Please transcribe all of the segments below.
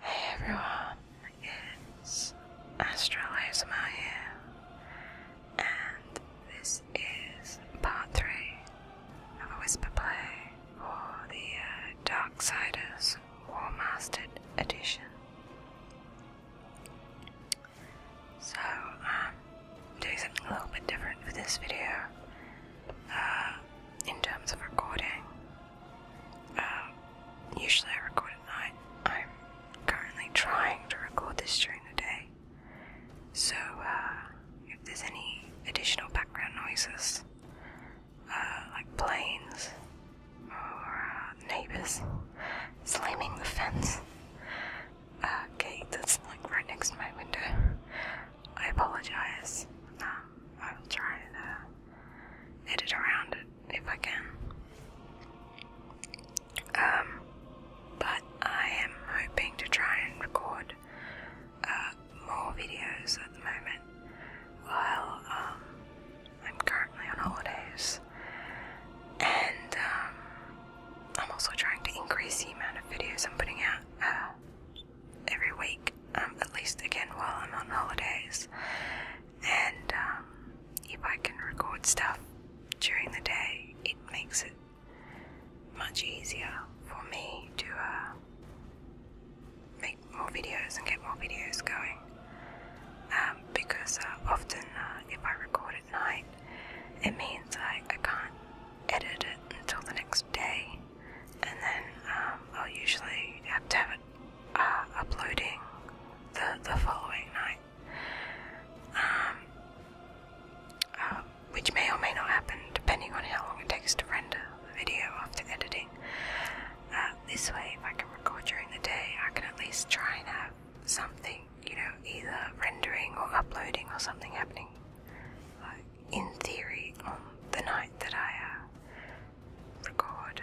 Hey everyone, it's Astralizma here, and this is part three of a whisper play for the uh, Darksiders War Mastered Edition. So, I'm um, doing something a little bit different for this video uh, in terms of recording. Uh, usually I record at night. I'm currently trying to record this during the day. So, uh, if there's any additional background noises, uh, like planes or uh, neighbors slamming the fence gate uh, that's like right next to my window. I apologize. Um, I will try and edit around it if I can. Um, but I am hoping to try and record more videos at the moment while um, I'm currently on holidays, and um, I'm also trying to increase the amount of videos I'm putting out uh, every week, um, at least again while I'm on holidays. And if I can record stuff during the day, it makes it much easier for me to uh, make more videos and get more videos going um, because uh, often uh, if I record at night, it means I, can't edit it until the next day, and then um, I'll usually have to have it uh, uploading the, the following night. Um, which may or may not happen depending on how long it takes to render video after editing. Uh, this way, if I can record during the day, I can at least try and have something, you know, either rendering or uploading or something happening, like in theory, on the night that I uh, record.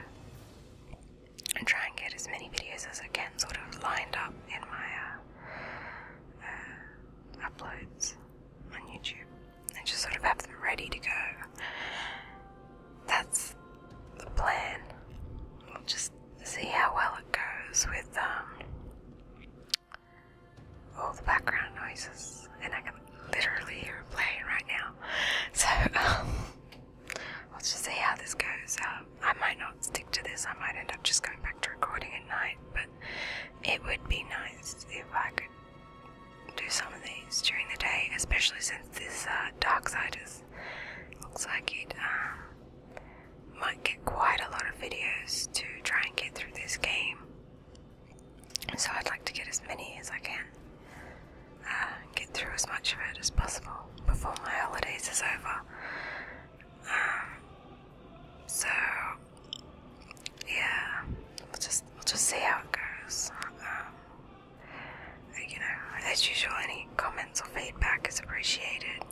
And try and get as many videos as I can sort of lined up in my uh, uploads on YouTube and just sort of have them ready to go. That's the plan. We'll just see how well it goes with um, all the background noises, and I can literally hear a plane right now. So, um, will just see how this goes. Um, I might not stick to this, I might end up just going back to recording at night, but it would be nice if I could do some of these during the day, especially since this uh, dark side is looks like it um, might get quite a lot of videos to try and get through this game. So I'd like to get as many as I can, uh, get through as much of it as possible before my holidays is over. Um, so yeah, we'll just we'll just see how it goes. Um, you know, as usual, any comments or feedback is appreciated.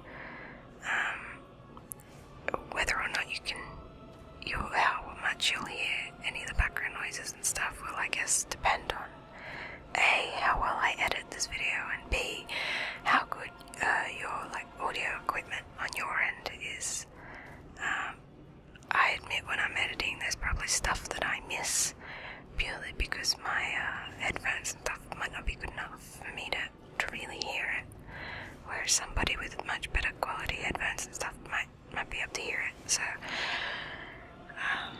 Um, whether or not you can, you how much you'll hear any of the background noises and stuff will, I guess, depend on a how well I edit this video and b how good uh, your like audio equipment on your end is. Um, I admit when I'm editing, there's probably stuff that I miss purely because my uh, headphones and stuff might not be good enough for me to, to really hear it. Whereas somebody with much better quality headphones and stuff might might be able to hear it. So, um,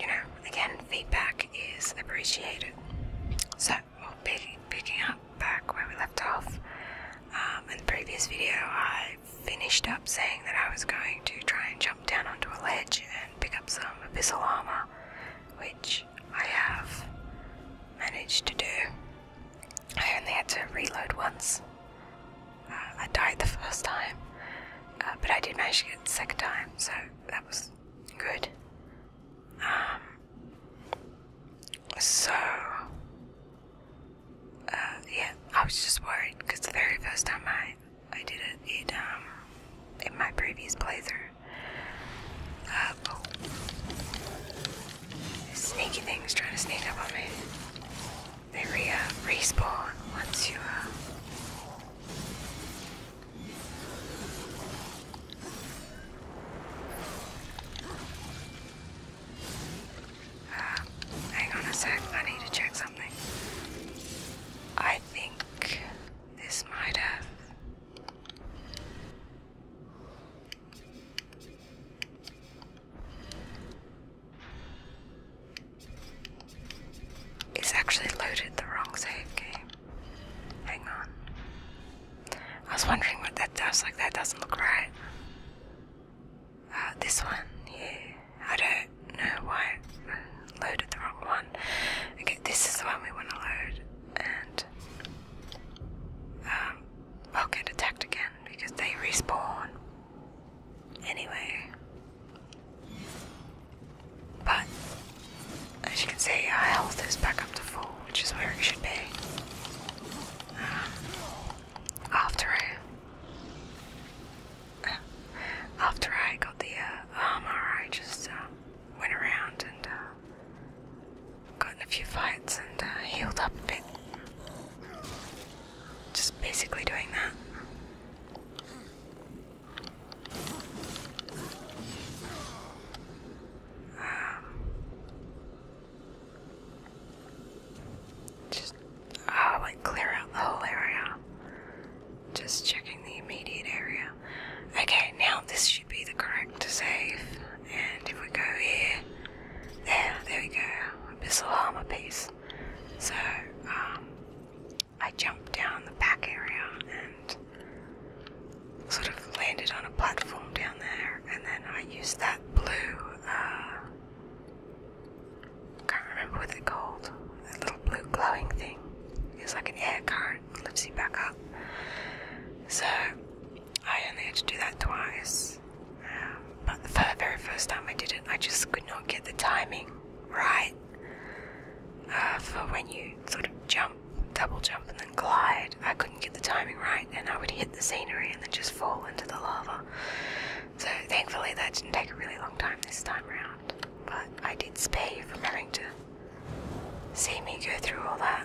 you know, again, feedback is appreciated. So, well, picking, picking up back where we left off um, in the previous video, I finished up saying that I was going to try and jump down onto a ledge and pick up some abyssal armor, which I have managed to do. I only had to reload once. Uh, I died the first time, uh, but I did manage to get it the second time, so that was good. Um, so uh, yeah, I was just worried because the very first time I, I did it, um, in my previous playthrough, uh, oh, sneaky things trying to sneak up on me. They uh, respawn once you, uh, uh, hang on a sec, I need to check something. I think this might have. It's actually loaded the wrong save game. Hang on. I was wondering what that does, like, that doesn't look right. Uh, this one, here, I don't know why I loaded the wrong one. Okay, this is the one we want to load. And um, I'll get attacked again because they respawn. Anyway. But, as you can see, our health is back up to full, which is where it should be. Um, after I after I got the uh, armor, I just uh, went around and uh, got in a few fights and uh, healed up a bit. Just basically doing that. Um, just uh, like clear out the whole area. Just checking the immediate area. Okay, now this should be the correct save. And if we go here, there, there we go. Abyssal armor piece. So, um, I jumped down the back area and sort of landed on a platform down there, and then I used that blue uh, can't remember what they called. That little blue glowing thing. It's like an air current, lifts you back up. So I only had to do that twice. Um, but the very first time I did it, I just could not get the timing right uh, for when you sort of jump, double jump, and then glide. I couldn't get the timing right, and I would hit the scenery and then just fall into the lava. So thankfully that didn't take a really long time this time around. But I did spare you from having to see me go through all that.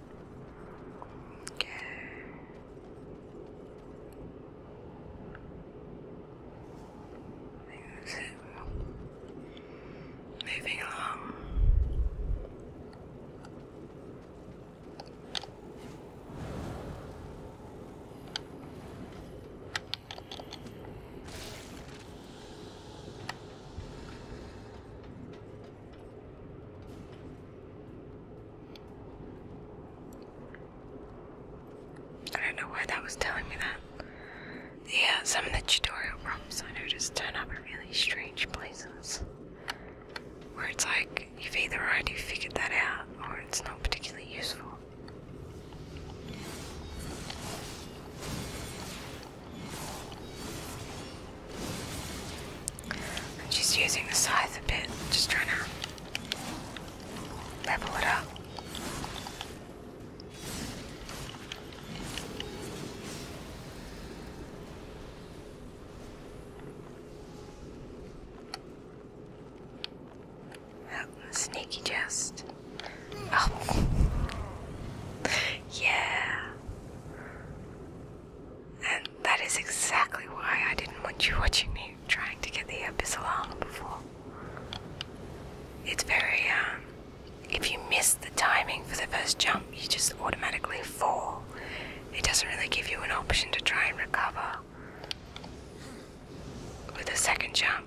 Things moving along. I don't know why that was telling me that. Yeah, some of the tutorial prompts I noticed turn up in really strange places. Where it's like, you've either already figured that out, or it's not particularly useful she's using the scythe a bit, just trying to level it up. Oh, sneaky jest. Oh. yeah. And that is exactly why I didn't want you watching me trying to get the abyssal along before. It's very, um, if you miss the timing for the first jump, you just automatically fall. It doesn't really give you an option to try and recover with a second jump.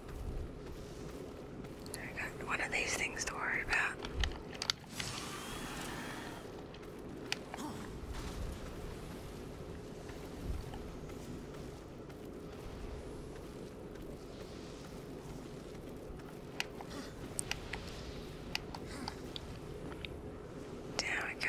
I got one of these things to worry about. There we go.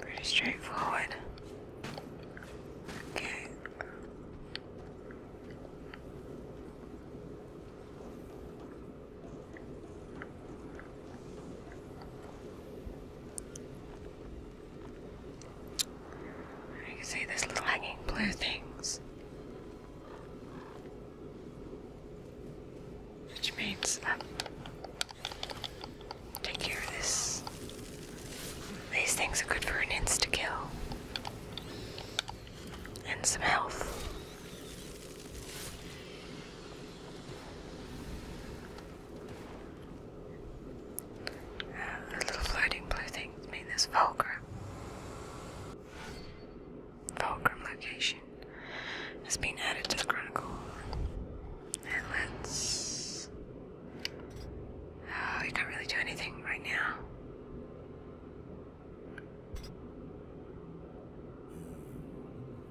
Pretty straightforward. Okay. You can see these little hanging blue things. Which means um, take care of this. These things are good for an insta kill and some health. Uh, the little floating blue things mean there's Fulcrum. Fulcrum location has been added to the Chronicle. And let's. Oh, we can't really do anything right now.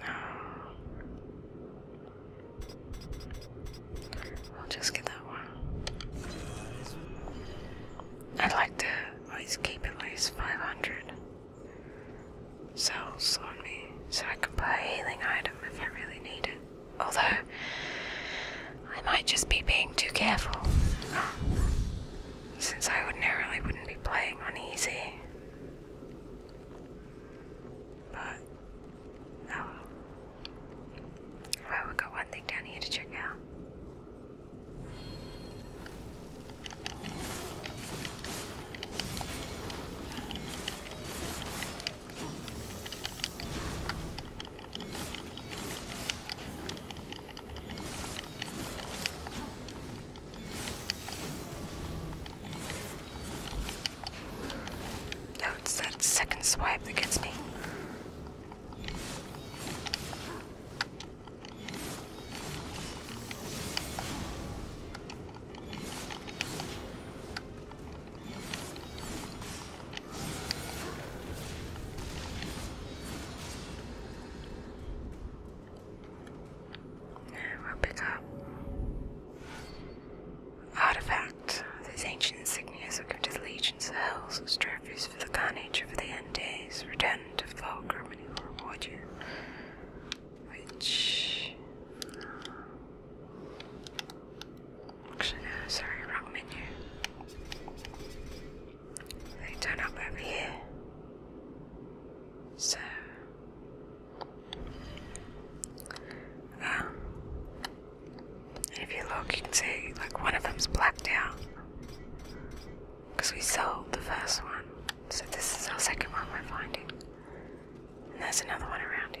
No. I'll just get that one. I'd like to at least keep at least 500 cells on me so I can buy a healing item if I really need it. Although, I might just be being too careful, since I ordinarily wouldn't be playing on easy. But, oh well. we got one thing down here to check out. No, it's that second swipe that gets me. Now we'll pick up Artifact. These ancient insignias are given to the legions of hells as trophies for the carnage of the end days. Return to Falk Germany will reward you which actually no, sorry, wrong menu. They turn up over here. So um, if you look you can see like one of them's blacked out because we sold the first one so this is our second one we're finding and there's another one around here.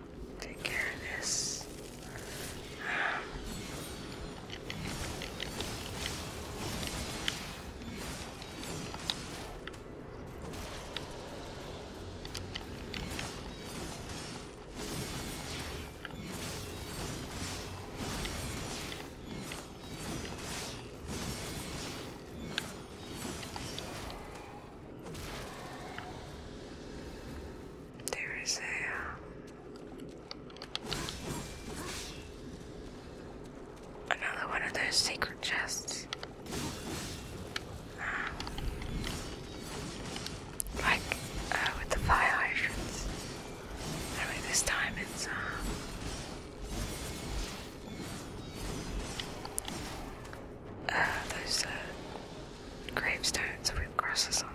take care of this. Um, there is a uh, another one of those secret chests. Uh, like uh, with the fire hydrants. Anyway, this time it's uh, uh, those uh, gravestones with crosses on them.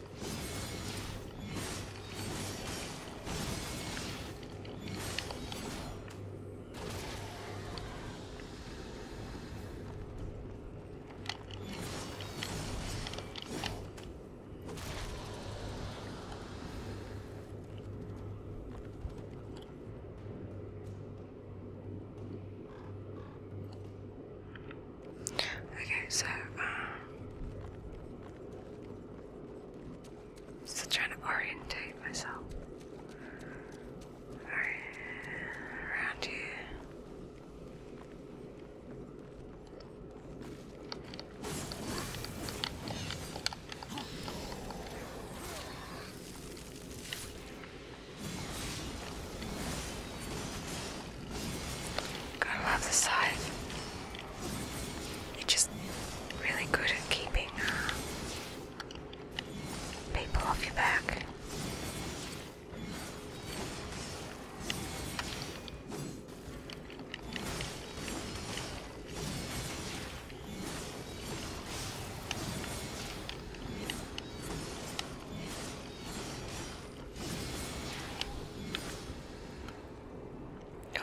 Okay, so um, Still trying to orientate myself. Around you. Gotta love the side. You're just really good at keeping uh, people off your back.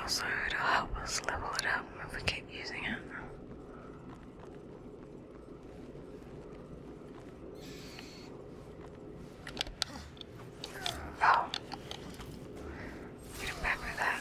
Also, it'll help us level it up if we keep using it. Oh, get that.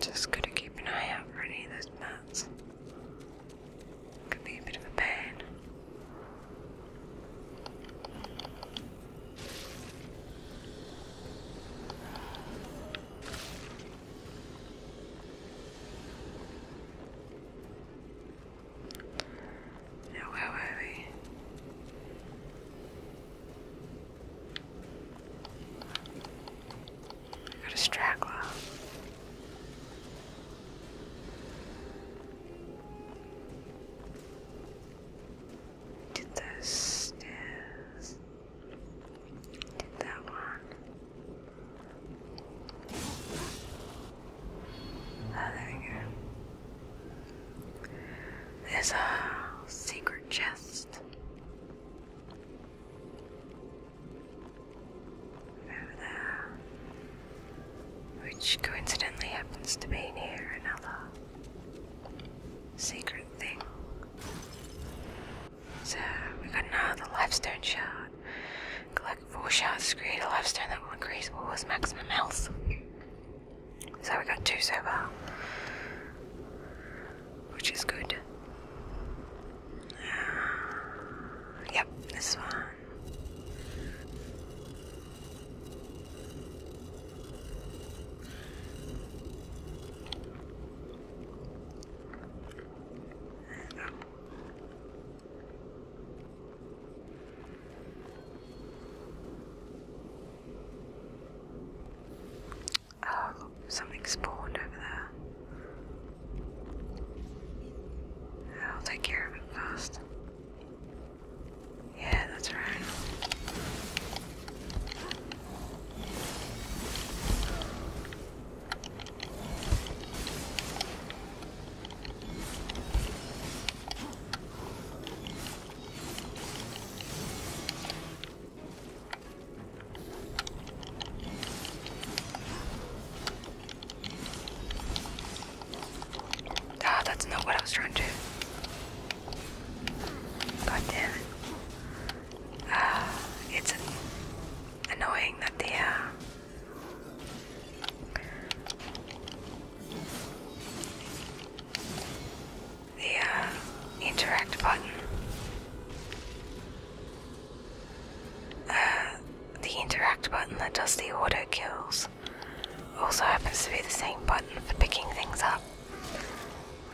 Just gotta keep an eye out for any of those mats. Could be a bit of a pain where were we? I got a straggler. Did those stairs? Did that one? Oh, there we go. There's a secret chest. Over there. Which coincidentally happens to be near another secret thing. So we got another stone shard. Collect four shards to create a life stone that will increase War's maximum health. So we got two so far, which is good. yep, this one. Oh, look, something spawned over there. I'll take care of it first. Yeah, that's right. Ah, that's not what I was trying to do. God damn it. Uh, it's annoying that they uh, the uh, interact button. Uh, the interact button that does the auto kills also happens to be the same button for picking things up,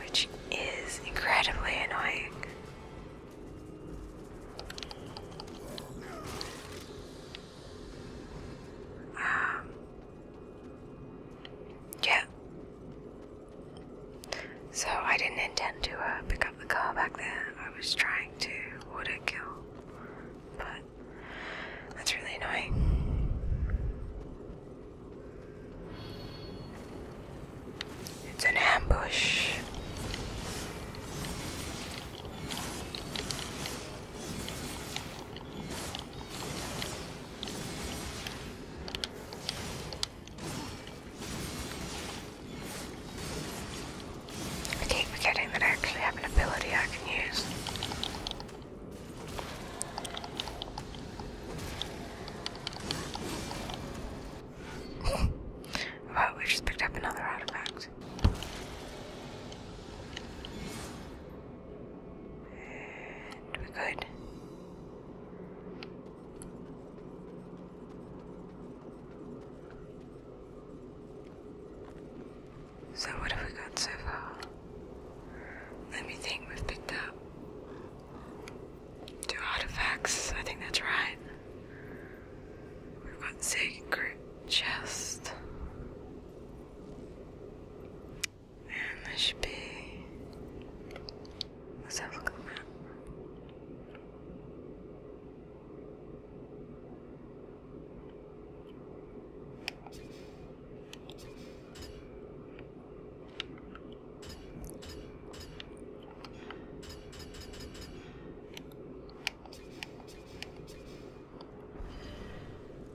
which is incredibly annoying. Um, yeah. So I didn't intend to uh, pick up the car back there. I was trying to auto kill, but that's really annoying. It's an ambush. I keep forgetting that I actually have an ability I can use. well, we just picked up another artifact we're good. So, what have we got so far? Let me think, we've picked up two artifacts, I think that's right. We've got secret chest. And there should be. Let's have a look at the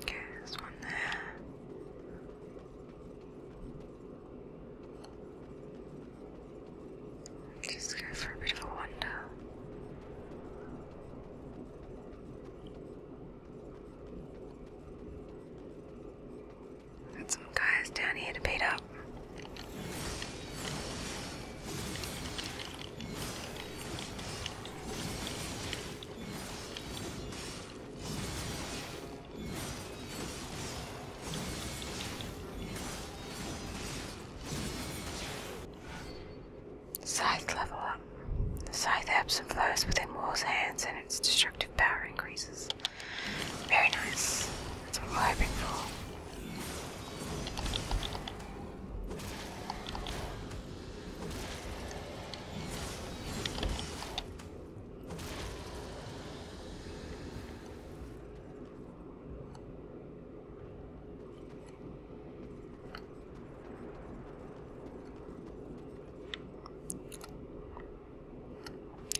Okay, this one there. Just go for a bit of a wander. Got some guys down here to beat up. Scythe level up. The scythe ebbs and flows within War's hands and its destructive power increases. Very nice. That's what we're hoping for.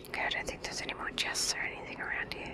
Okay, I don't think there's any more chests or anything around here.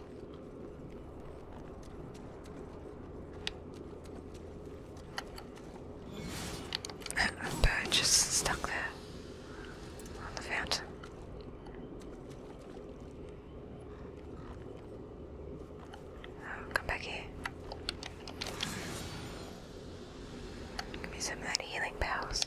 A bird just stuck there on the fountain. Oh, come back here. Give me some of that healing powers.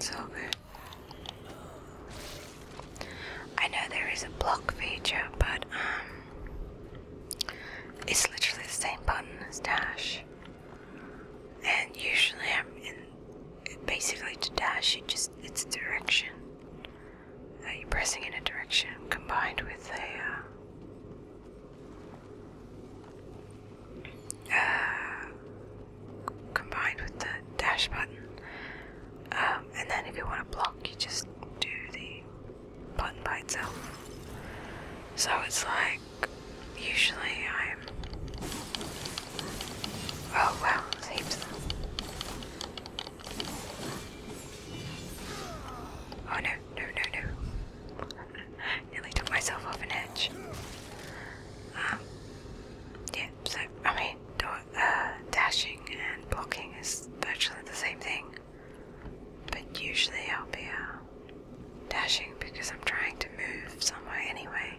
So good. I know there is a block feature, but um, it's literally the same button as Dash. And usually I'm in basically to dash, it just it's direction. Uh, you're pressing in a direction combined with a uh, uh, combined with the dash button. Um, and then if you want to block, you just do the button by itself. So it's like usually I'm. Oh wow, heaps Oh no, no, no, no. Nearly took myself off an edge. Um, yeah, so, I mean, uh, dashing and blocking is virtually the same thing. But usually I'll be uh, dashing because I'm trying to move somewhere anyway.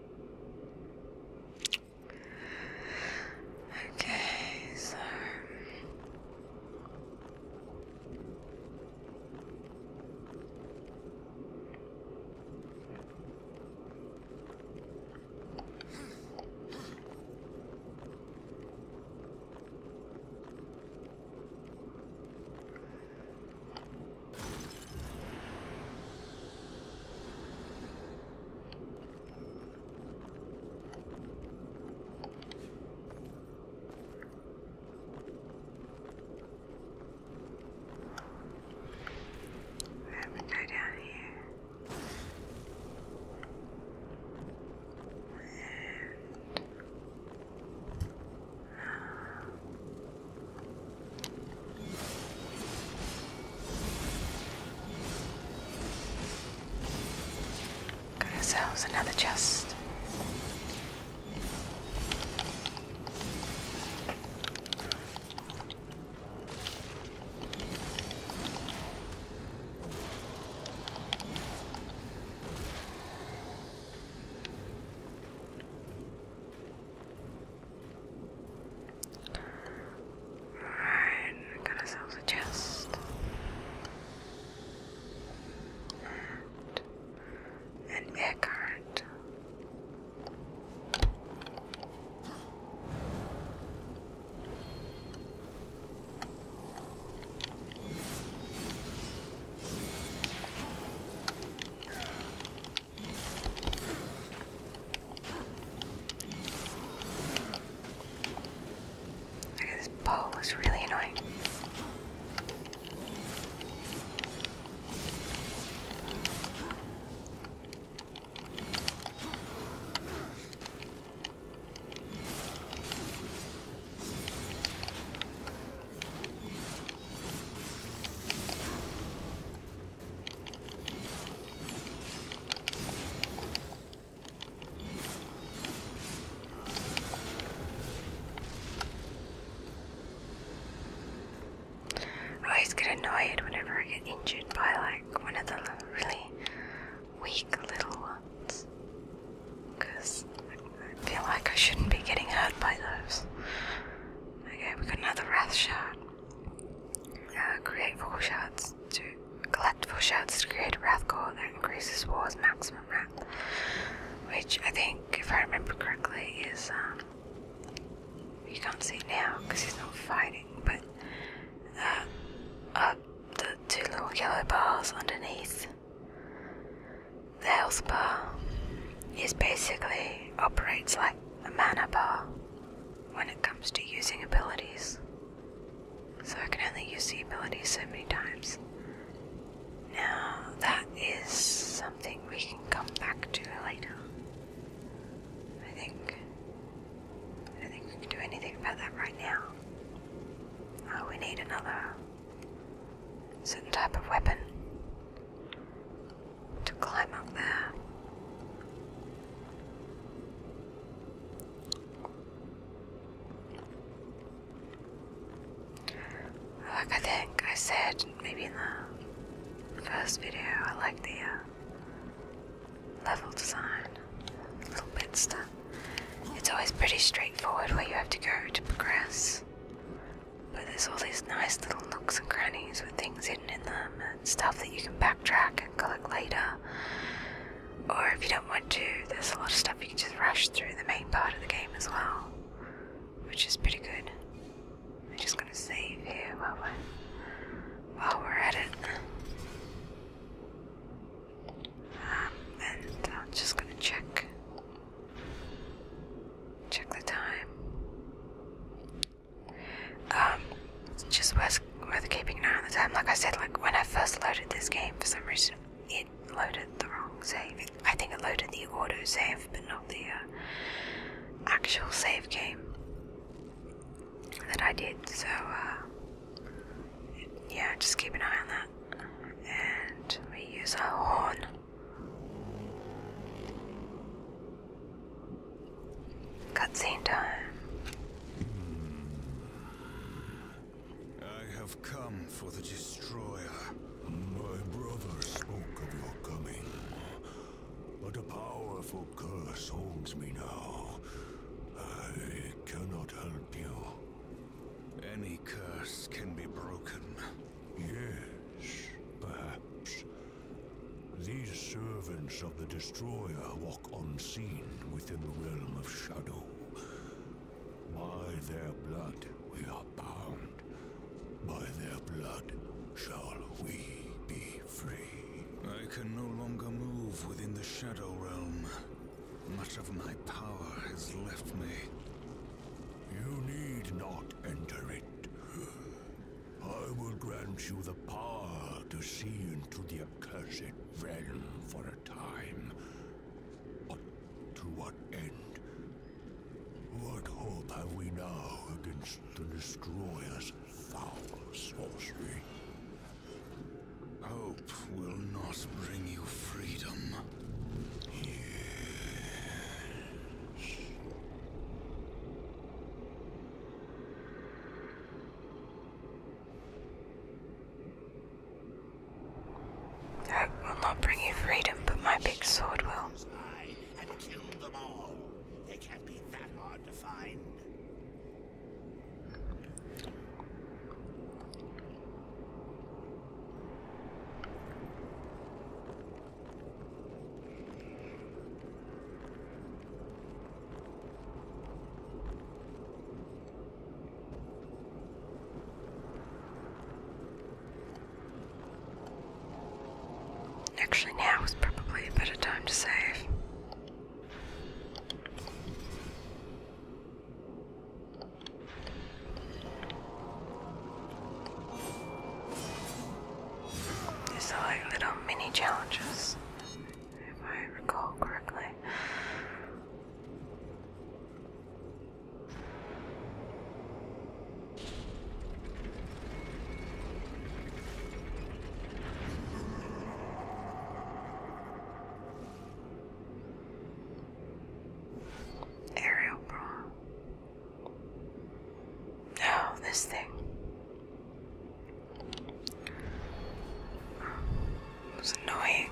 Okay, so hmm. Let me go down here. And, uh, Got ourselves another chest. Alright, we got ourselves a chest. And an air Okay, this bow was really annoying. I always get annoyed whenever I get injured by like one of the really weak little ones because I feel like I shouldn't be getting hurt by those. Okay, we got another wrath shard. Uh, create four shards to collect four shards to create a wrath core that increases war's maximum wrath, which I think, if I remember correctly, is um, you can't see now because he's not fighting, but uh, uh, the two little yellow bars underneath the health bar is basically operates like a mana bar when it comes to using abilities. So I can only use the ability so many times. Now, that is something we can come back to later. I think. I think we can do anything about that right now. Oh, we need another certain type of weapon to climb up there. Like I think I said maybe in the first video, I like the uh, level design, little bits it's always pretty straightforward where you have to go to progress. But there's all these nice little nooks and crannies with things hidden in them stuff that you can backtrack and collect later. Or if you don't want to, there's a lot of stuff you can just rush through the main part of the game as well, which is pretty good. I'm just gonna save here while we're, while we're at it. Um, and I'm just gonna check. Check the time. Um, just worth worth keeping an eye on the time. Like I said, like when I first loaded this game, for some reason it loaded the wrong save. I think it loaded the auto save, but not the uh, actual save game that I did. So uh, yeah, just keep an eye on that. And we use our horn. Cutscene time. I have come for the destroyer. My brother spoke of your coming, but a powerful curse holds me now. I cannot help you. Any curse can be broken. Yes, perhaps. These servants of the Destroyer walk unseen within the realm of shadow. By their blood we are bound. By their blood shall we be free. I can no longer move within the shadow realm. Much of my power has left me. You need not enter it. I will grant you the power to see into the accursed realm for a time. But to what end? What hope have we now against the Destroyer's foul sorcery? Hope will not bring you freedom. Yes. That will not bring you freedom, but my big sword will. I had killed them all. They can't be that hard to find. Actually, now is probably a better time to save. These are like little mini challenges if I recall correctly. Aerial bra. No, this thing. It was annoying.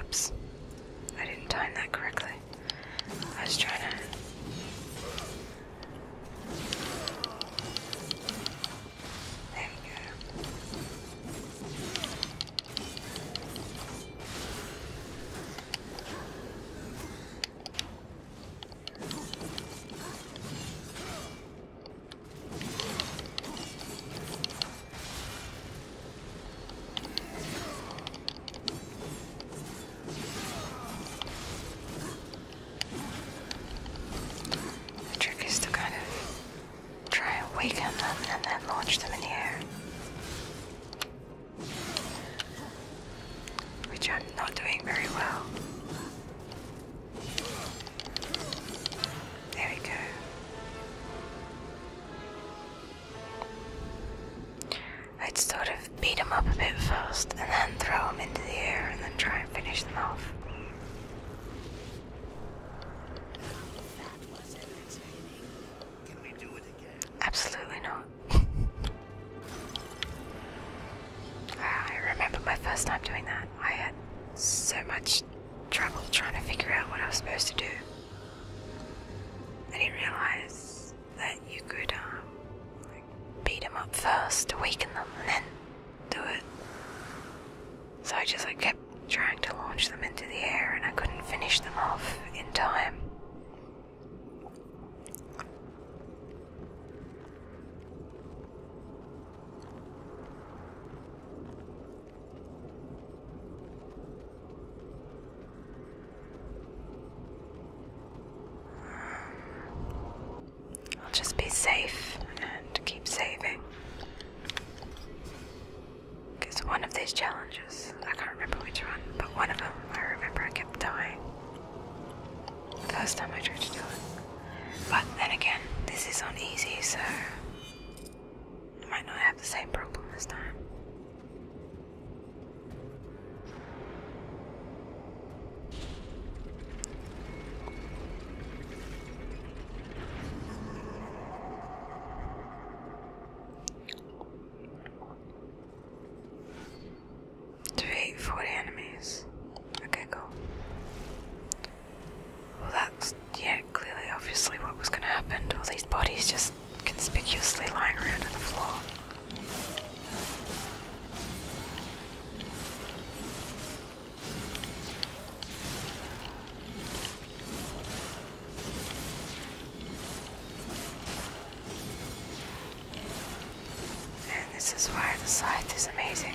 Oops. I didn't time that correctly. I was trying to there we go. The trick is to kind of try and awaken them and then launch them in the air. Which I'm not doing very well. There we go. I'd sort of beat them up a bit first and then throw them into the air and then try and finish them off. Absolutely not. Ah, I remember my first time doing that. I had so much trouble trying to figure out what I was supposed to do. I didn't realize that you could um, beat them up first to weaken them and then do it. So I just kept trying to launch them into the air and I couldn't finish them off in time. I'll just be safe and keep saving. Because one of these challenges, I can't remember which one, but one of them I remember I kept dying. The first time I tried to do it. But then again, this is on easy, so I might not have the same problem this time. To beat 40 enemies. Okay, cool. Well, that's, yeah, clearly, obviously, what was going to happen to all these bodies just conspicuously lying around on the floor. And this is why the site is amazing.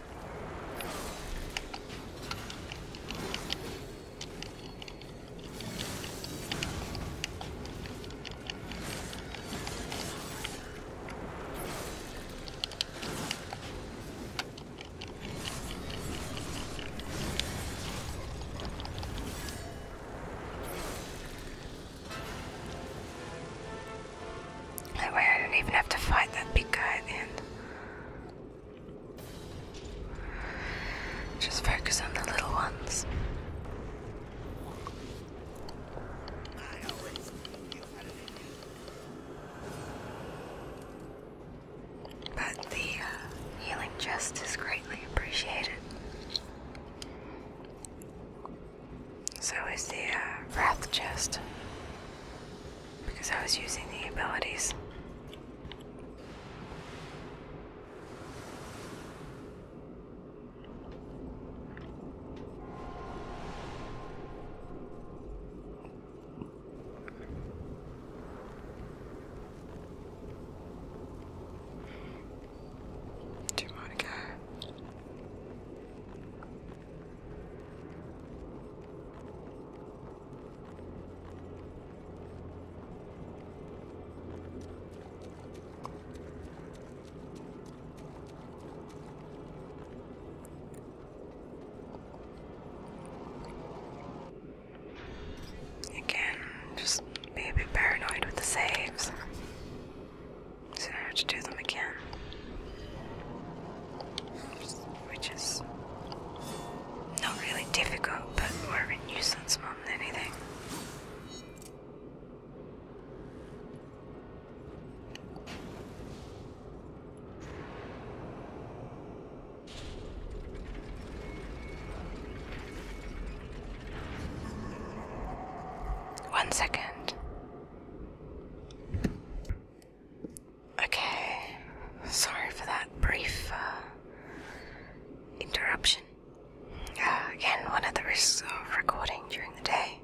That way I didn't even have to fight that big guy at just focus on the little ones. But the uh, healing jest is greatly appreciated. So is the uh, wrath chest. Because I was using the abilities to Monica. Again, just be a bit paranoid with the saves. So to do them again which is not really difficult, but more of a nuisance more than anything. One second. Okay, sorry for that brief uh, interruption. Uh, again, one of the risks of recording during the day.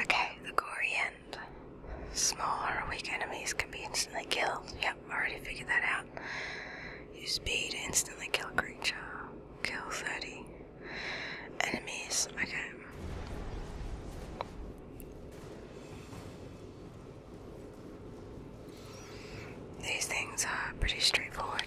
Okay, the gory end. Smaller, weak enemies can be instantly killed. Yep, already figured that out. Use B to instantly kill creature. Kill 30 enemies. Okay. These things are pretty straightforward.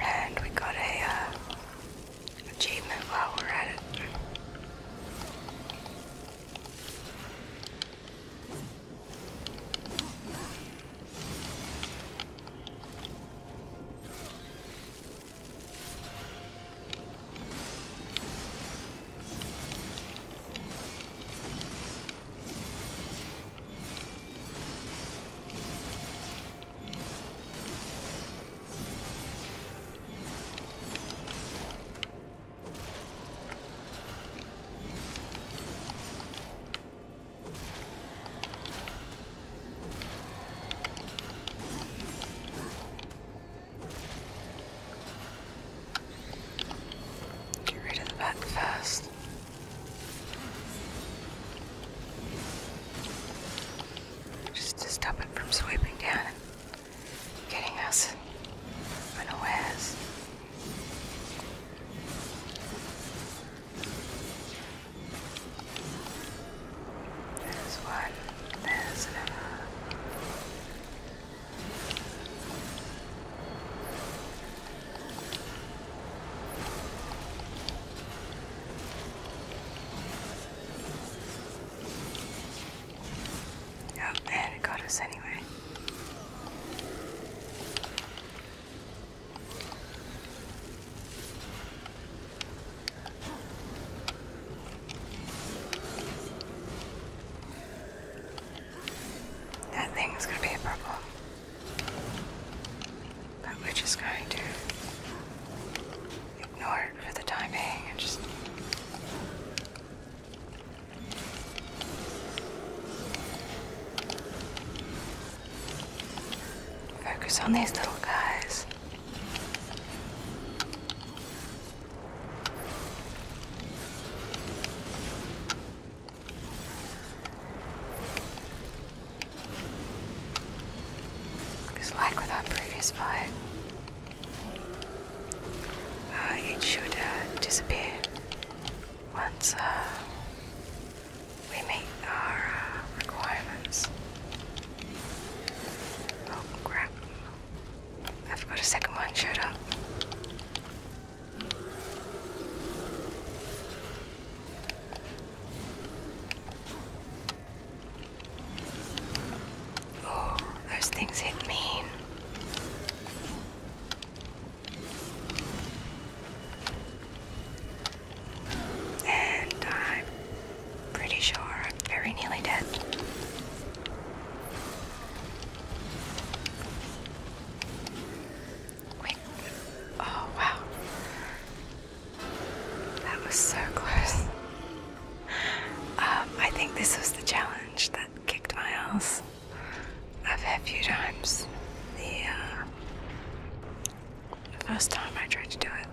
And we got a uh, achievement while we're at it. Get rid of the bat first just to stop it from sweeping down and getting us unawares. There's one, there's another. Oh, and it got us anyway. That thing's gonna be a problem but we're just going to ignore it for the time being and just focus on these little guys. Because like with our previous fight, uh, it should uh, disappear once uh, we meet our requirements. Oh crap, i forgot a second one showed up. Oh, those things hit me, And I'm pretty sure I'm very nearly dead. Quick. Oh, wow. That was so close. Um, I think this was the challenge that kicked my ass. I've had a few times. Uh, the first time I tried to do it.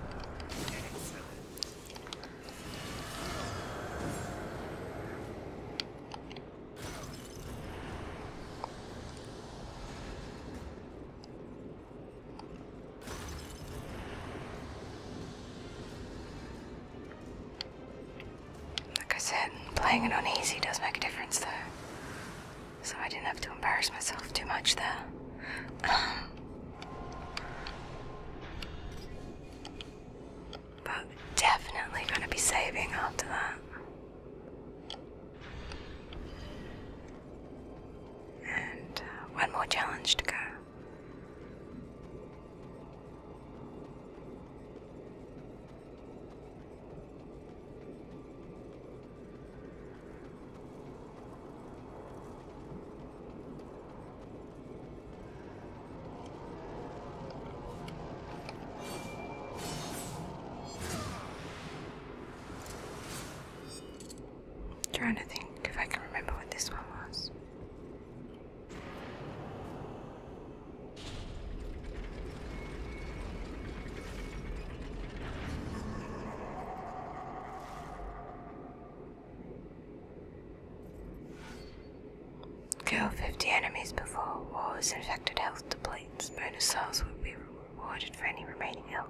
Like I said, playing it on easy does make a difference though. So I didn't have to embarrass myself too much there. but definitely gonna be saving after that. And uh, one more challenge to go trying to think if I can remember what this one was. Kill 50 enemies before wars infected health depletes. Bonus souls will be rewarded for any remaining health.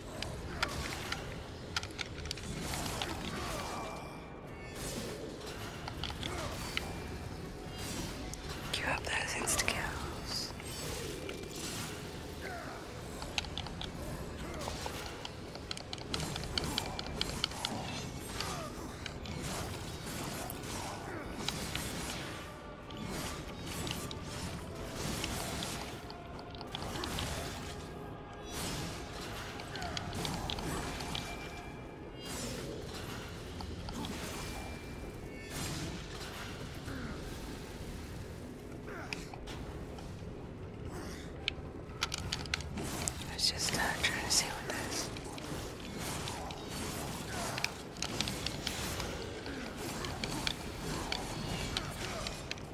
Queue up those insta kills. I was just uh, trying to see what that is.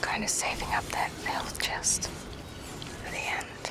Kind of saving up that health chest for the end.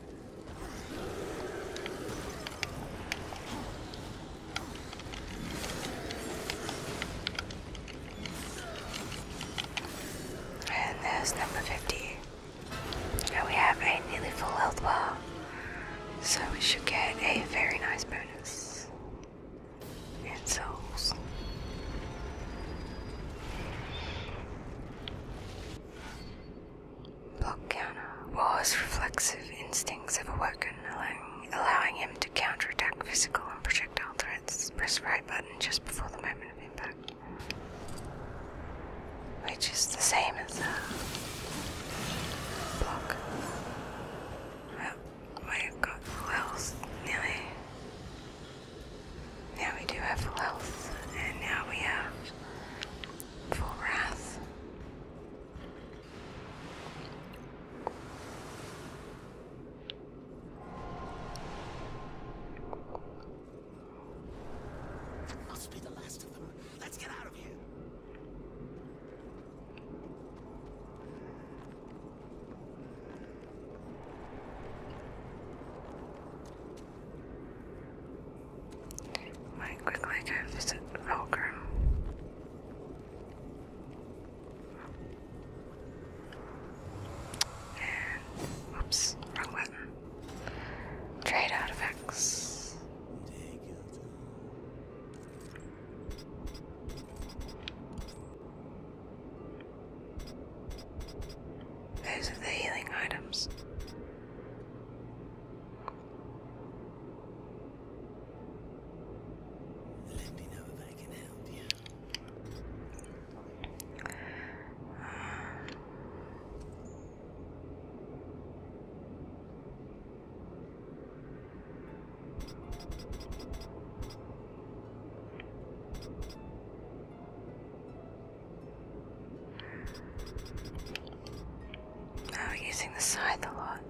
And there's number 50. And we have a nearly full health bar. So we should get a very nice bonus. in souls. Volcano was reflexive instincts have awakened, allowing, allowing him to counterattack physical and projectile threats. Press right button just before the moment of impact, which is the same as the block. Well, we've got full health, nearly. Now we do have full health, and now we have for wrath. Must be the last of them. Let's get out of here might quickly go visit Volgrim. oops, wrong button. Trade artifacts. Those are the healing items. Let me know if I can help you. Now oh, we're using the side a lot.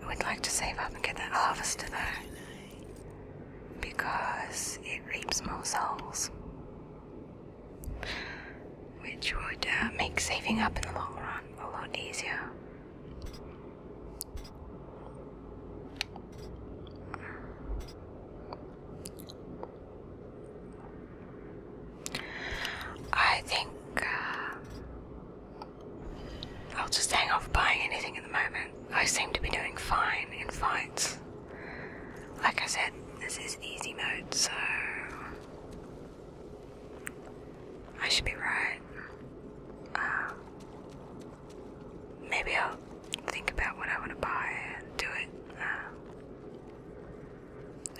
we would like to save up and get that harvester though, because it reaps more souls, which would uh, make saving up in the long run a lot easier. I think uh, I'll just hang off buying anything at the moment. I seem to be doing fine in fights. Like I said, this is easy mode, so I should be right. Um, maybe I'll think about what I want to buy and do it um,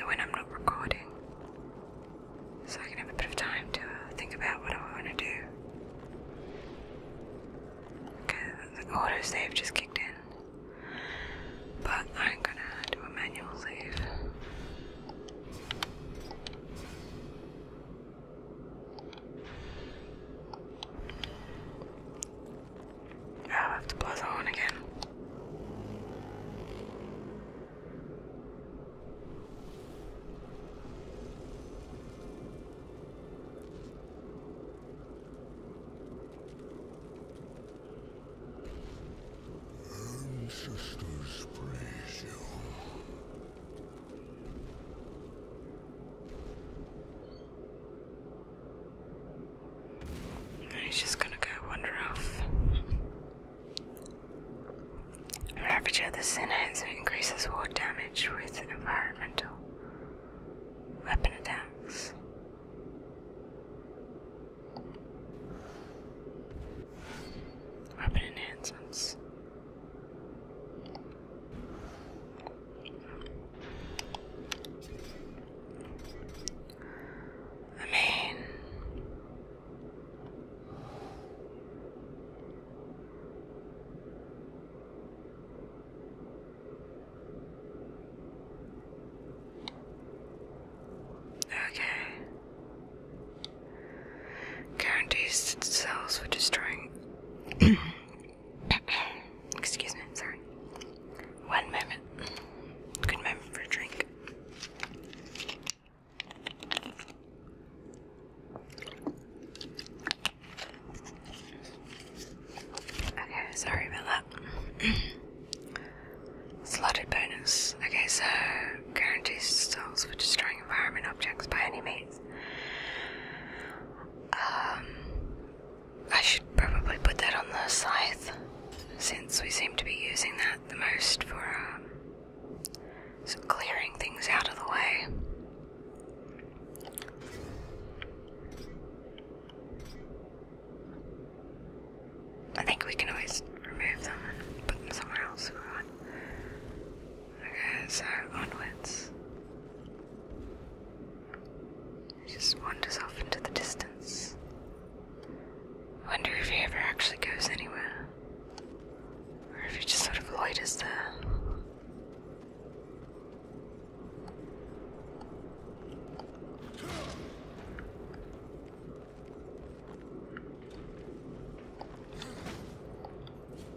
when I'm not recording, so I can have a bit of time to uh, think about what I want to do. Because the auto save just kicked in, but I'm gonna do a manual save i have to buzz on again. Ancestors praise you. He's just gonna go one wander off. Ravager the Sin increases war damage with environmental weapon attacks. Weapon enhancements. I mean, okay guarantees cells for destroying. Excuse me, sorry. One moment. Good moment for a drink. Okay, sorry about that. Slotted bonus. Okay, so guarantees cells for destroying environment objects by any means. Um, I should probably put that on the scythe, since we seem to be using that the most for um, clearing things out of the way. I think we can always remove them and put them somewhere else Okay, so onwards. It just wanders off into the distance. wonder if he ever actually goes anywhere. Or if he just sort of loiters there.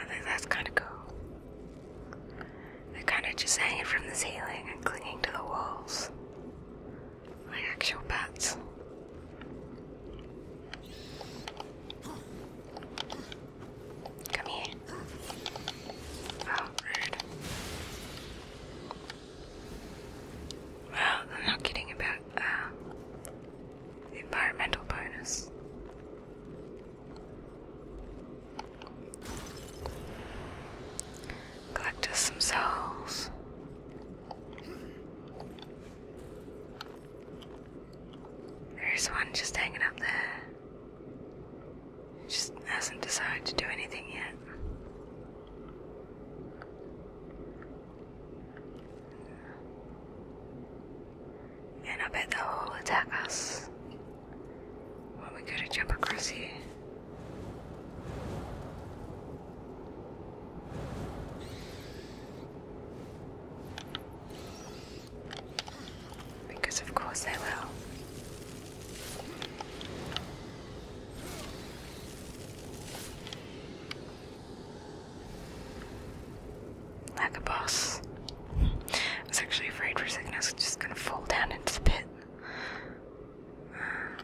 I think that's kind of cool. They're kind of just hanging from the ceiling and clinging to the walls like actual bats. Come here. Oh, rude. Well, they're not kidding about uh, environmental bonus. Collect some cells. There's one just hanging up there. Just hasn't decided to do anything yet. And I bet they'll attack us. When we go to jump across here. Because of course they will. Like a boss. I was actually afraid for a second I was just gonna fall down into the pit. Uh,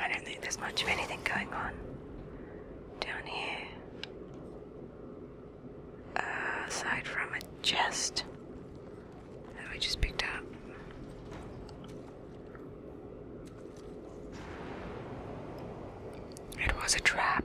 I don't think there's much of anything going on down here. Uh, aside from a chest that we just picked up. It was a trap.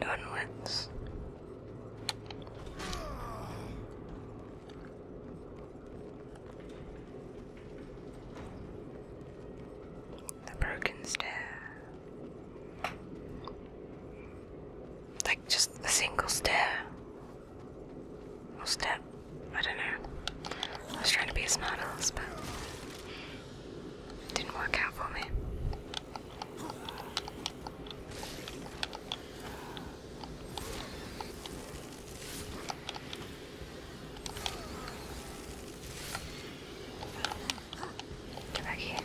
And onwards. The broken stair. Like just a single stair. Or step. I don't know. I was trying to be a smart but didn't work out for me. Get back here.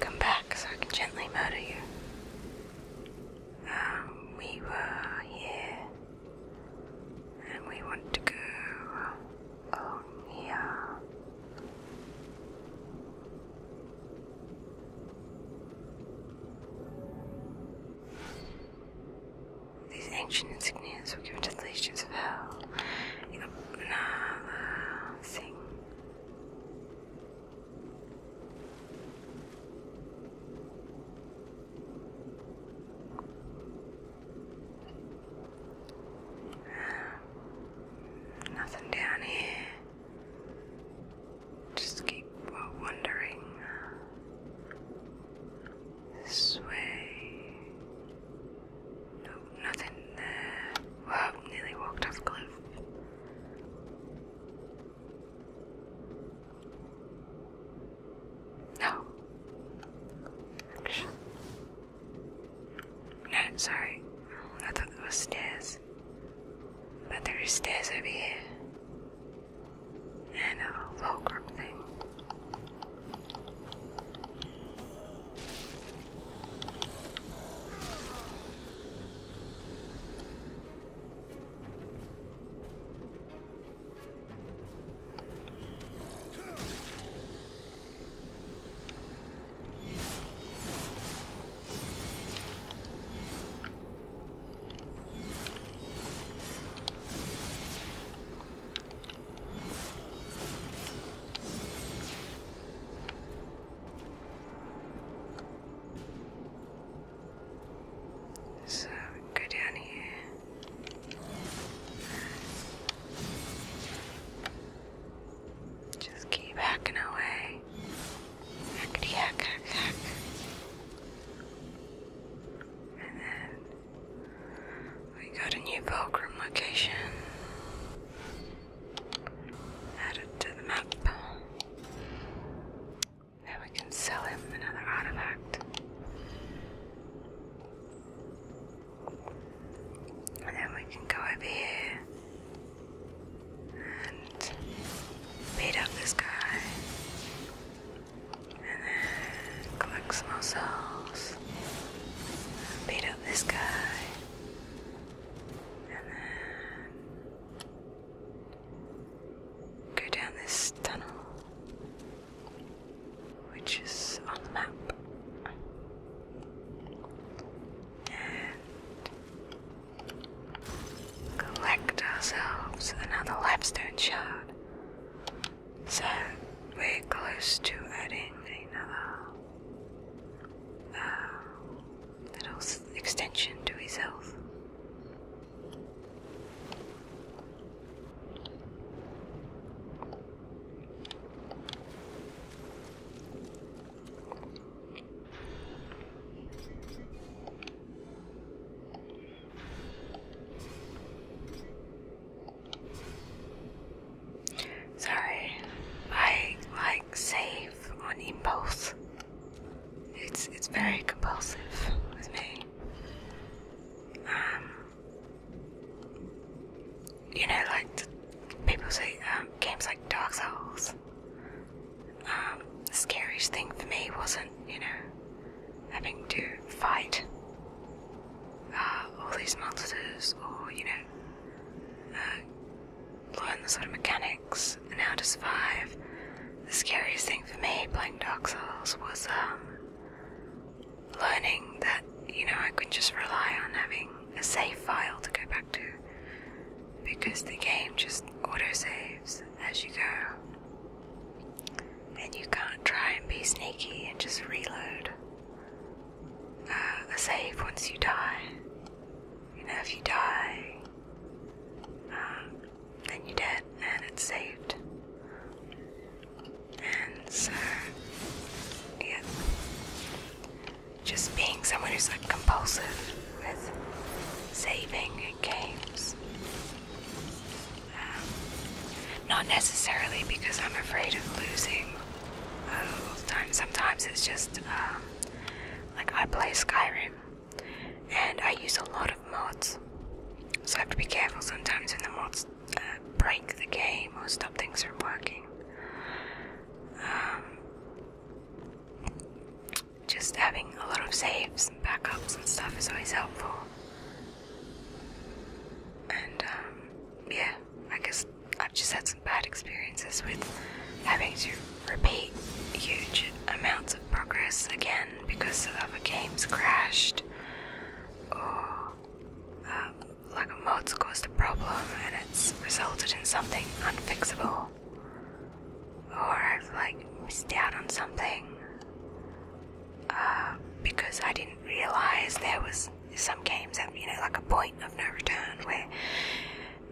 Come back so I can gently murder you. Um, we were here, and we want to go Oh, yeah. These ancient insignias were given to the legions of hell. In another thing. Nothing down here. Just keep wandering this way. No, nothing there. Whoa, nearly walked off cliff. No. Action. No, sorry. I thought there was stairs. But there are stairs over here. And a fulcrum thing. So go down here. Just keep hacking away. Hackety hack, hack, hack. And then we got a new Pilgrim location. Add to the map. Now we can sell him another artifact. And then we can go over here and beat up this guy. And then collect some more Beat up this guy. And then go down this tunnel which is on the map. And collect ourselves another lapstone shard. So we're close to adding another um, little extension to his health. Sorry, I like save on impulse. It's it's very compulsive with me. Um, you know, like people say, um, games like Dark Souls. Um, the scariest thing for me wasn't, you know, having to fight uh, all these monsters or, you know, uh, learn the sort of mechanics and how to survive. The scariest thing for me playing Dark Souls was um, learning that you know I can just rely on having a save file to go back to because the game just auto saves as you go, and you can't try and be sneaky and just reload uh, a save once you die. You know, if you die, um, then you're dead and it's saved. And so, uh, yeah, just being someone who's like compulsive with saving games. Um, not necessarily because I'm afraid of losing all Sometimes it's just um, like I play Skyrim and I use a lot of mods. So I have to be careful sometimes when the mods uh, break the game or stop things from working. Um, just having a lot of saves and backups and stuff is always helpful. And um, yeah, I guess I've just had some bad experiences with having to repeat huge amounts of progress again because other games crashed uh, like a mod's caused a problem and it's resulted in something unfixable, or I've like missed out on something uh, because I didn't realize there was some games that you know like a point of no return where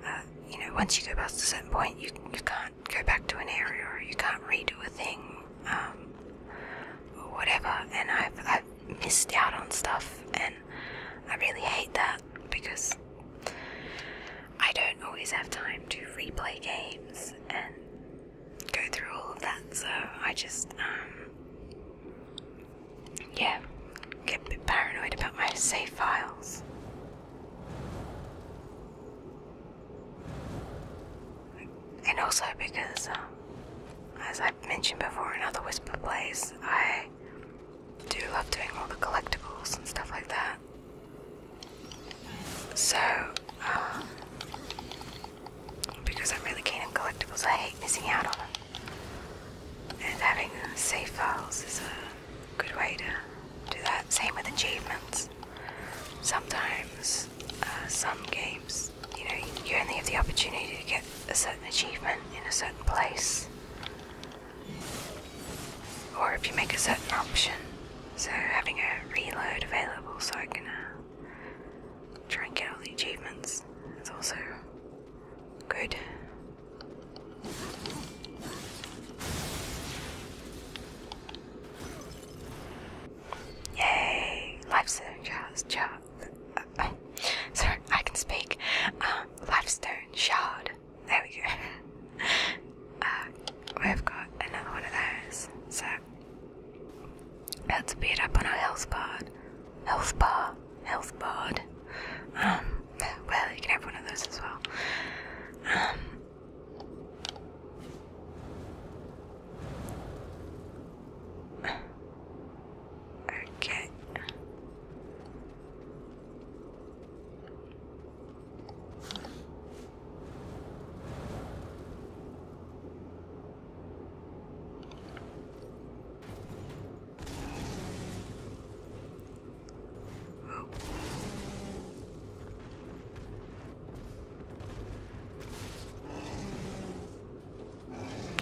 uh, you know once you go past a certain point you you can't go back to an area or you can't redo a thing um, or whatever, and I've I've missed out on stuff, and I really hate that because I don't always have time to replay games and go through all of that, so I just, um, yeah, get a bit paranoid about my save files. And also because, um, as i mentioned before in other Whisper Plays, I do love doing all the collectibles and stuff like that. So, uh, because I'm really keen on collectibles, I hate missing out on them. And having safe files is a good way to do that. Same with achievements. Sometimes, uh, some games, you know, you only have the opportunity to get a certain achievement in a certain place. Or if you make a certain option, so having a reload available so I can uh, try and get all the achievements It's also good. Yay! Life's so charge uh, sorry, I can speak. Um, limestone shard. There we go. Uh, we've got another one of those. So let's beat up on our health bar. Health bar. Health bar. Um, well, you can have one of those as well. Um, Okay.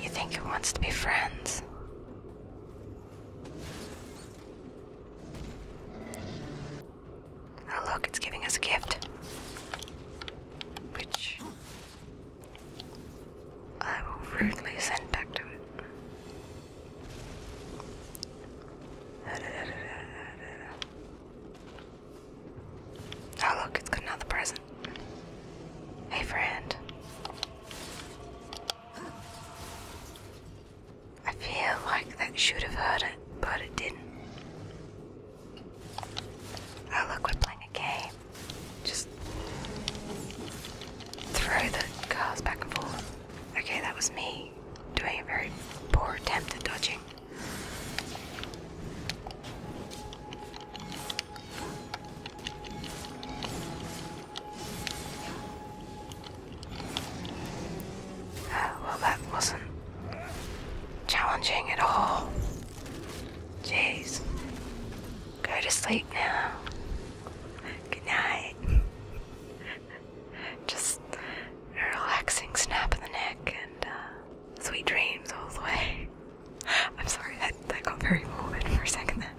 You think it wants to be friends? Oh, look, it's giving us a gift. Which I will rudely send back to it. Oh, look, it's got another present. Hey, friend. I feel like that should have hurt it, but it didn't. Oh, look, we're playing a game. Just throw the cars back and forth. Okay, that was me doing a very poor attempt at dodging. Uh, well, that wasn't challenging at all. Jeez. Go to sleep now. Good night. Just a relaxing snap of the neck and uh, sweet dreams all the way. I'm sorry, that, that got very morbid for a second there.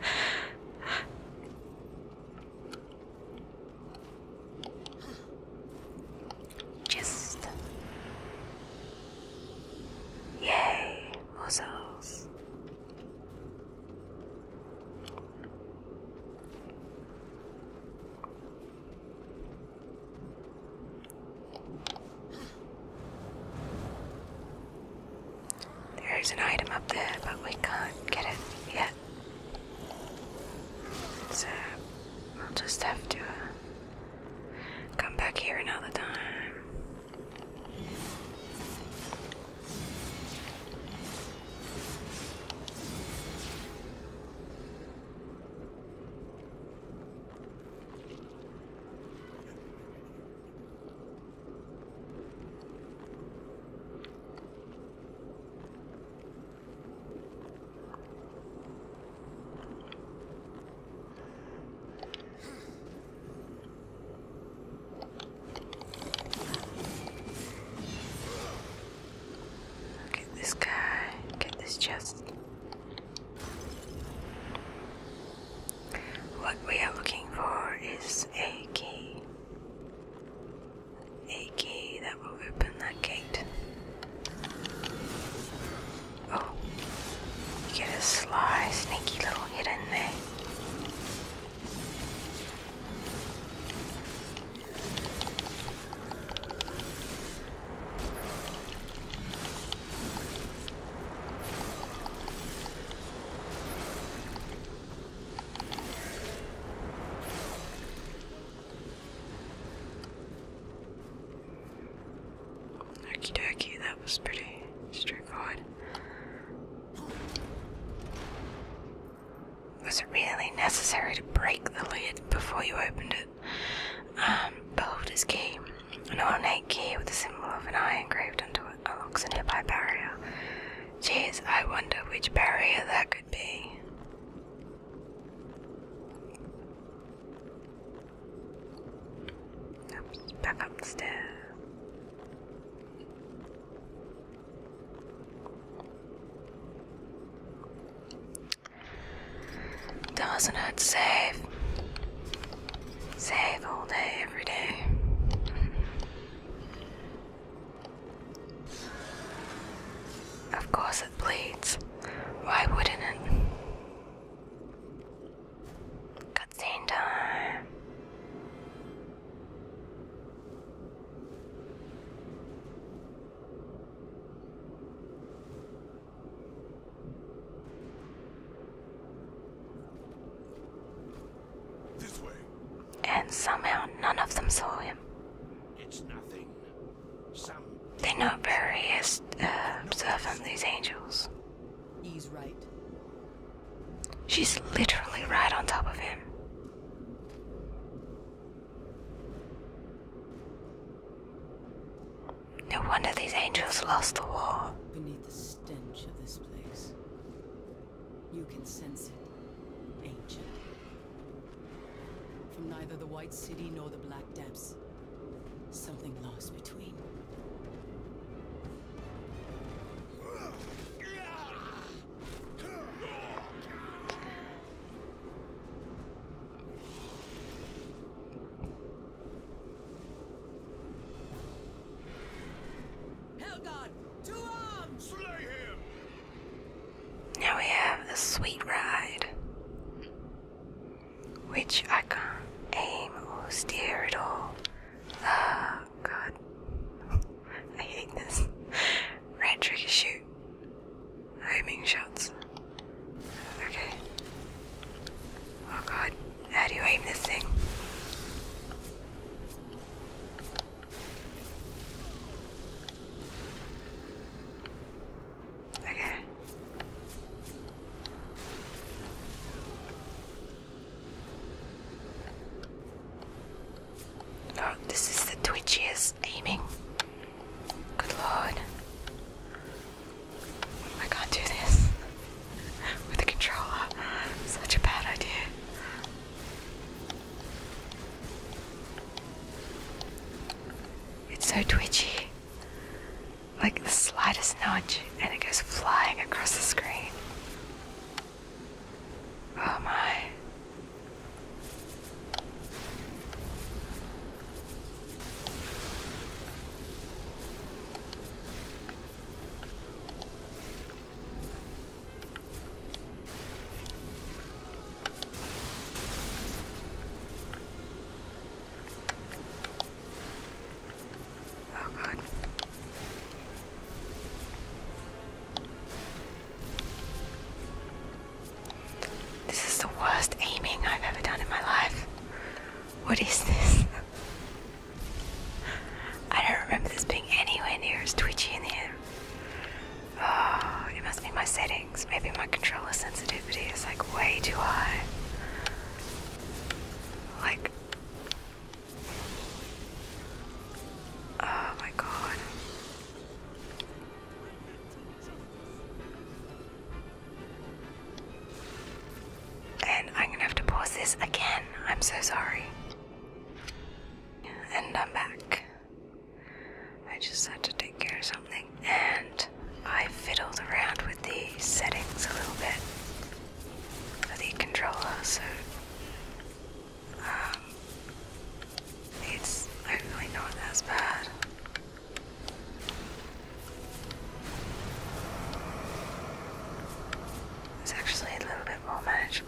Just yay, muscles. There's an item up there, but we can't get it yet. So I'll just have to uh, come back here another time. Get this guy, get this chest. What we are looking for is a key a key that will open that gate. Oh, you get a sly, sneaky little hidden in there. Okie dokie, that was pretty straightforward. Was it really necessary to break the lid before you opened it? Um, Beholder's Key. An ornate key with the symbol of an eye engraved onto it unlocks a nearby barrier. Geez, I wonder which barrier that could be. back up Doesn't save? Save all day, every day. Of course it bleeds. Why wouldn't it? Cutscene time. This way. And somehow none of them saw him. It's nothing. they are not very uh, observant, these angels. He's right. She's literally right on top of him. No wonder these angels lost the war. Beneath the stench of this place. You can sense it, angel. From neither the White City nor the Black Depths, something lost between. Now we have the Sweet Ride. Which I can not aim or steer at all. oh, God. I hate this. Red trigger shoot. shots. Okay. Oh, God. How do you aim this thing? Okay. Oh, this is the twitchiest aiming. Good lord. I can't do this with the controller. Such a bad idea. It's so twitchy. Like the slightest nudge, and it goes flying across the screen. Oh my. Oh god. This is the worst aiming I've ever done in my life. What is this? I don't remember this being anywhere near as twitchy in the air it ah, must be my settings. Maybe my controller sensitivity is like way too high. Like, oh my god. And I'm gonna have to pause this again. I'm so sorry. And I'm back. I just had to take care of something. And I fiddled around with the settings a little bit for the controller, so um, it's hopefully not as bad. It's actually a little bit more manageable.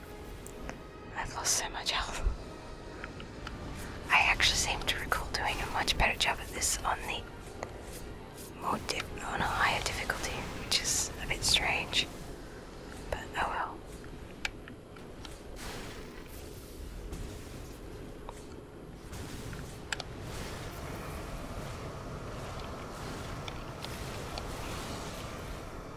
I've lost so much health. I actually seem to recall doing a much better job of this on the more on a higher difficulty, which is a bit strange. But oh well.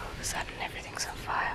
All of a sudden, everything's on fire.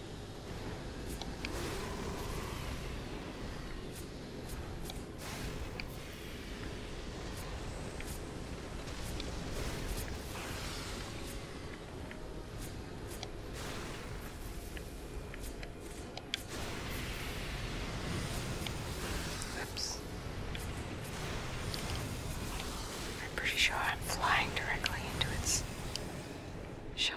Oops. I'm pretty sure I'm flying directly into its shell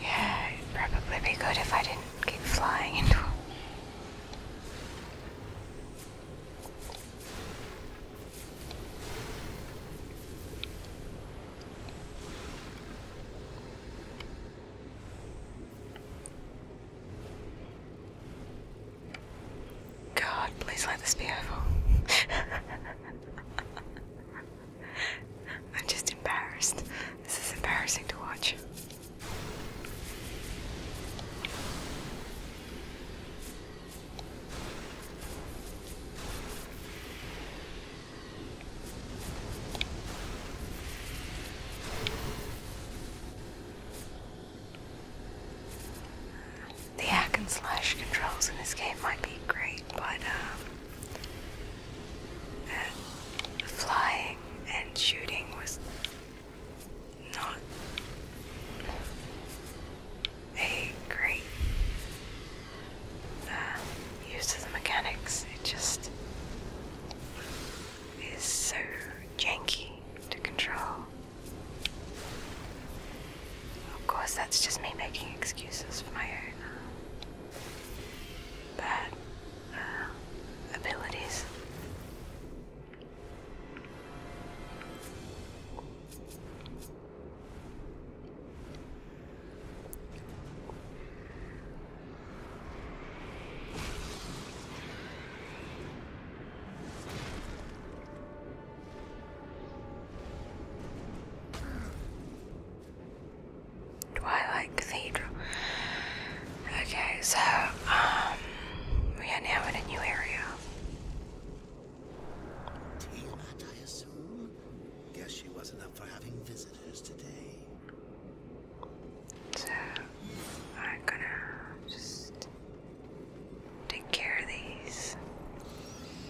Yeah, it'd probably be good if I didn't keep flying into them. God, please let this be over. I'm just embarrassed. This is embarrassing to watch. The hack and slash controls in this game might be great, but um, and flying and shooting was not a great uh, use of the mechanics. It just is so janky to control. Of course, that's just me making excuses for my own uh, bad uh, abilities. Twilight Cathedral. Okay, so um, we are now in a new area. Teabot, I assume. Guess she wasn't up for having visitors today. So I'm gonna just take care of these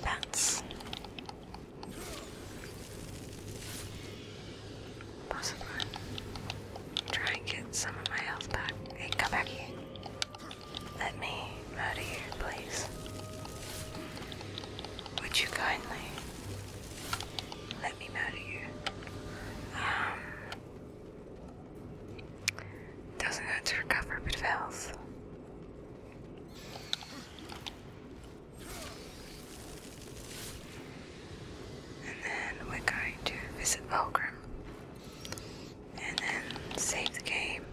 bats. Possibly. Try and get some of my health back. Hey, come back here. Let me out of here, please. Would you kindly let me out of here? Um, doesn't hurt to recover a bit of health. And then we're going to visit Volgrim. And then save the game.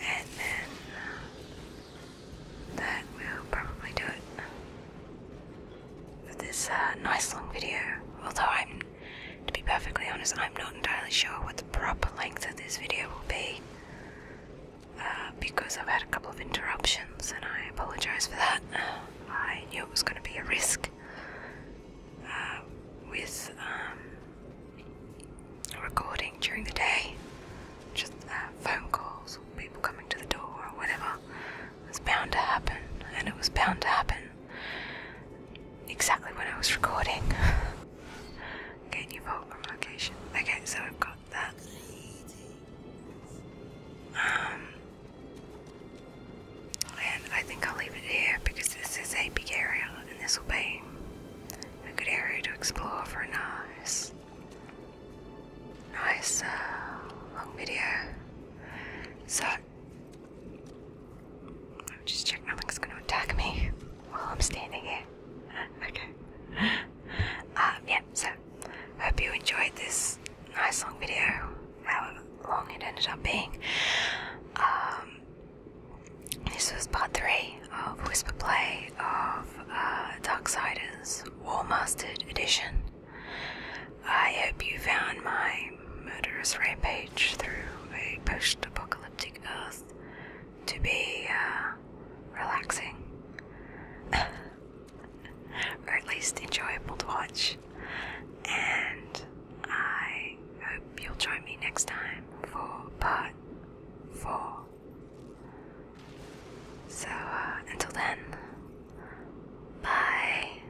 And then that will probably do it for this uh, nice long video. Although I'm, to be perfectly honest, I'm not entirely sure what the proper length of this video will be. Uh, because I've had a couple of interruptions and I apologize for that. I knew it was going to be a risk uh, with um, recording during the day, just uh, phone calls, people coming to the door, or whatever. It was bound to happen, and it was bound to happen exactly when I was recording. okay, new vault location. Okay, so I've got. Um, and I think I'll leave it here because this is a big area and this will be a good area to explore for a nice, nice uh, long video. So, I'll just check nothing's going to attack me while I'm standing here. okay. Uh, yeah, so hope you enjoyed this nice long video, however long it ended up being. Um, this was part three of Whisper Play of uh, Darksiders War Mastered Edition. I hope you found my murderous rampage through a post apocalyptic earth to be uh, relaxing, or at least enjoyable to watch. And I hope you'll join me next time for part four. So uh, until then, bye.